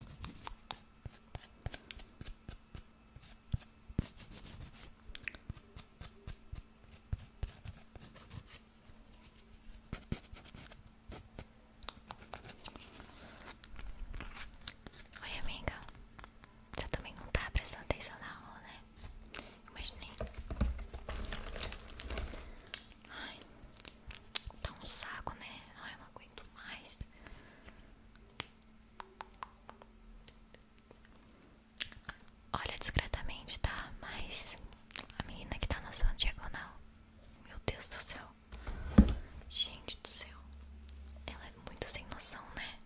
Oi, amiga. Você também não está prestando atenção na aula, né? Imaginei. Ai, tá um saco, né? Ai, eu não Olha discretamente, tá? Mas a menina que tá na sua diagonal, meu Deus do céu, gente do céu, ela é muito sem noção, né?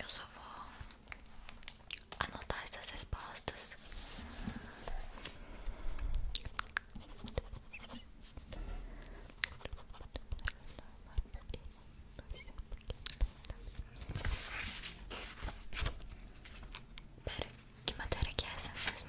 Eu só vou anotar essas respostas. Pera, que matéria que é essa mesmo?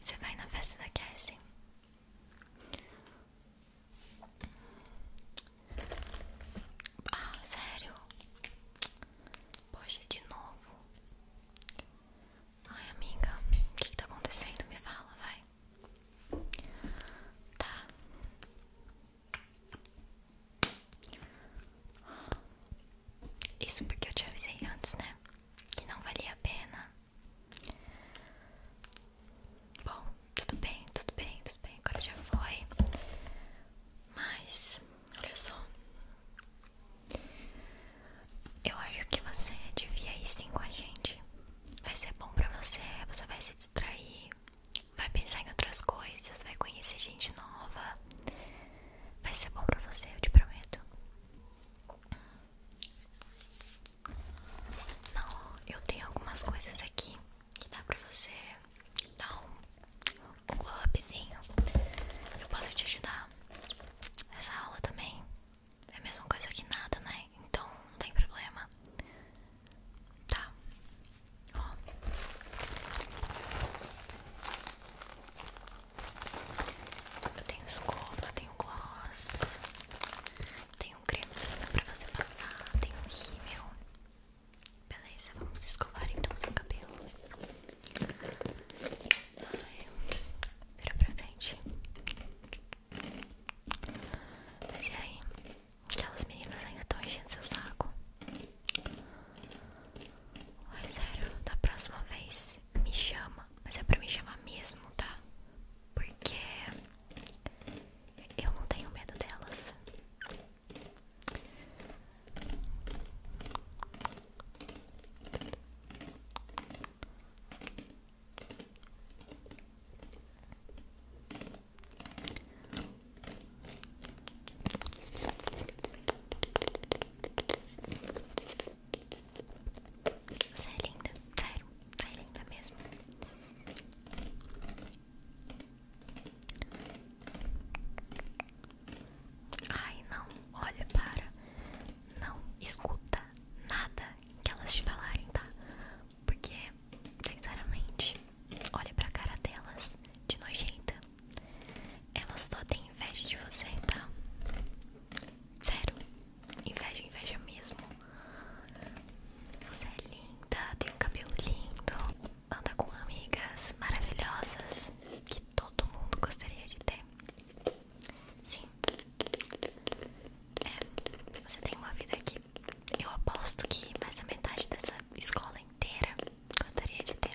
Você vai na festa da Cassie? Ah, sério? Poxa, de novo. Ai, amiga, o que, que tá acontecendo? Me fala, vai. Tá. Isso porque eu te avisei antes, né? Que não valia a pena. Bom, tudo bem, tudo bem, tudo bem. Agora já foi. Mas, olha só. Eu acho que você devia ir sim com a gente. Vai ser bom pra você, você vai se distrair, vai pensar em outras coisas, vai conhecer gente nova. Vai ser bom pra você, eu te prometo. Não, eu tenho algumas coisas aqui que dá pra você dar um, um Eu posso te ajudar. Essa aula também é a mesma coisa que nada, né? Então não tem problema. Tá. Ó. Eu tenho escova, tenho gloss, tenho creme pra você passar, tenho rímel. Beleza, vamos escovar então seu cabelo. Ai, vira pra frente. Mas e aí? Aquelas meninas ainda estão enchendo seu saco. Ai, sério, da próxima vez Assim, me chama. Mas é pra me chamar mesmo, tá? Porque eu não tenho medo delas. Você é linda, sério, você é linda mesmo. Ai, não, olha, para. Não escuta nada que elas te falarem, tá? Porque, sinceramente, olha pra cara delas de nojenta elas só têm inveja de você, tá? Sério, inveja, inveja mesmo. Você é linda, tem um cabelo lindo, anda com amigas maravilhosas que todo mundo gostaria de ter. Sim, é, você tem uma vida que eu aposto que mais da metade dessa escola inteira gostaria de ter.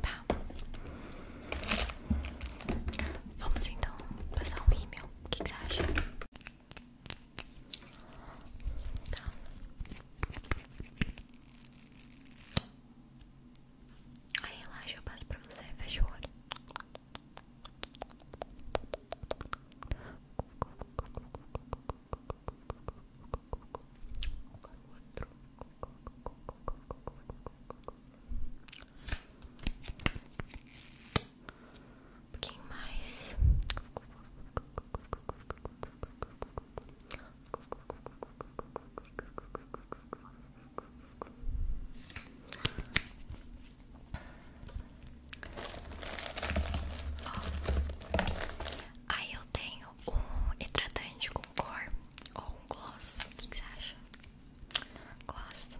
Tá. Vamos então passar um e-mail. O que, você acha? Tá. Aí relaxa, eu passo para você. Fecha o olho. Um pouquinho mais. Aí eu tenho um hidratante com cor ou um gloss? O acha? Gloss.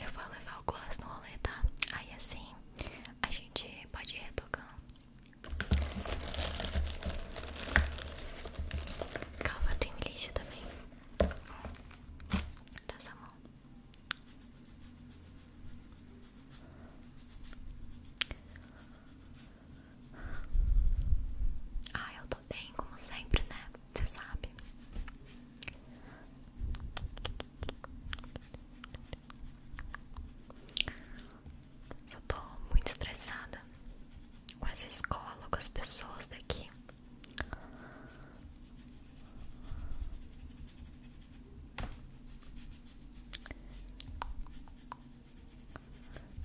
Eu vou levar o gloss no rolê, tá? Aí assim a gente pode ir retocando. Calma, tem lixo também. Tá essa mão. Ah, eu tô bem, como sempre, né? Você sabe. Só tô muito estressada com as escolas, com as pessoas daqui.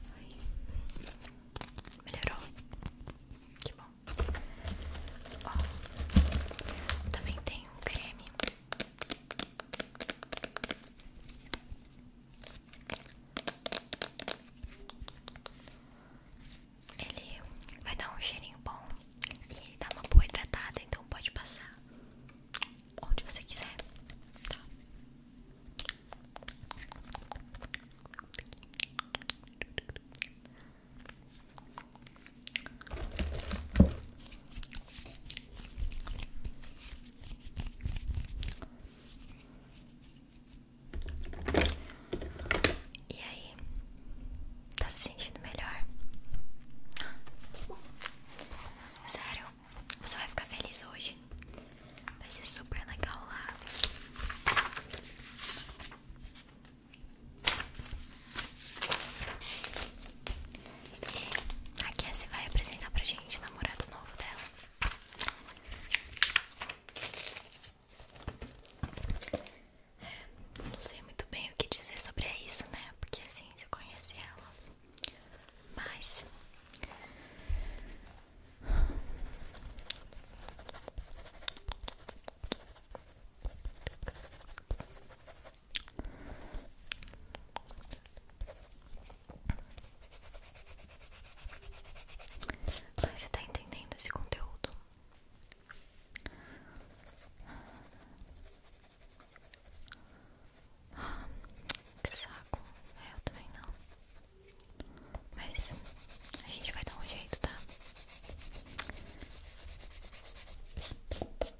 Ai. Melhorou? Que bom. Ó, também tem um creme ele vai dar um cheirinho bom e dá tá uma boa hidratada, então pode passar onde você quiser. Tá. E aí? Tá se sentindo melhor? Sério, você vai ficar feliz hoje. Vai ser super legal lá. A Cassie vai apresentar pra gente o namorado novo dela. É, não sei muito bem o que dizer sobre isso, né? Porque assim, se conhece ela. Mas. Mas você tá entendendo esse conteúdo? Ah, que saco. É, eu também não. Mas a gente vai dar um jeito, tá?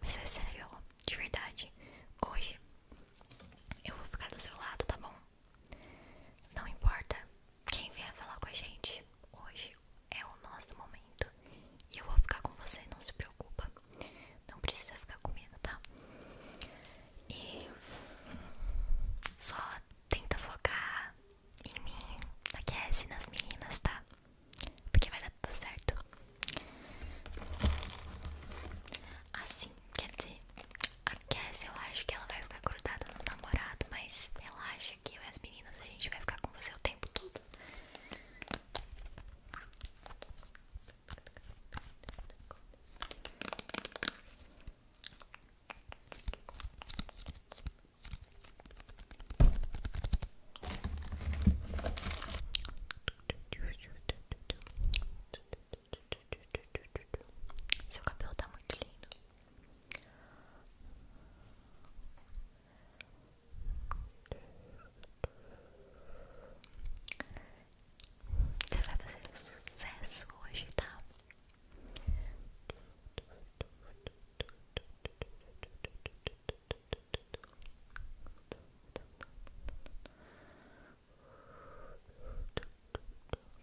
Mas é sério, de verdade. Hoje eu vou ficar do seu lado, tá bom? Não importa quem vier falar com a gente. Hoje é o nosso momento. E eu vou ficar com você, não se preocupa. Não precisa ficar com medo, tá? E só tenta focar em mim, na Cassie, nas meninas, tá? Porque vai Tá tudo certo. Assim, quer dizer, a Cass eu acho que ela vai ficar grudada no namorado, mas relaxa que as meninas a gente vai ficar com você o tempo todo. Seu cabelo tá muito lindo. Você vai fazer sucesso hoje, tá?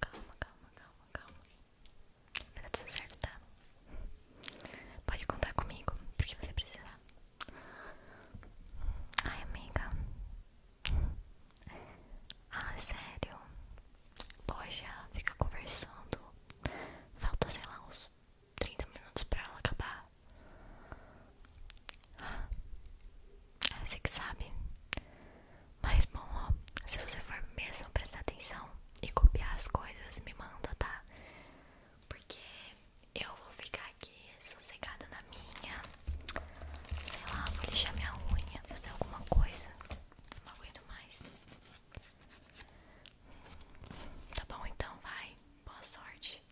Calma, calma, calma, calma. Vai dar tudo certo, tá? Pode contar comigo, porque você precisa Ai, amiga. Ah, sério? já fica conversando. Falta, sei lá, uns 30 minutos pra ela acabar. Ah, você que sabe. Mas bom, ó, se você for mesmo prestar atenção e copiar as coisas, me manda, tá? Porque eu vou ficar aqui sossegada na minha. Sei lá, vou lixar minha unha, fazer alguma coisa. Não aguento mais. Tá bom, então vai. Boa sorte.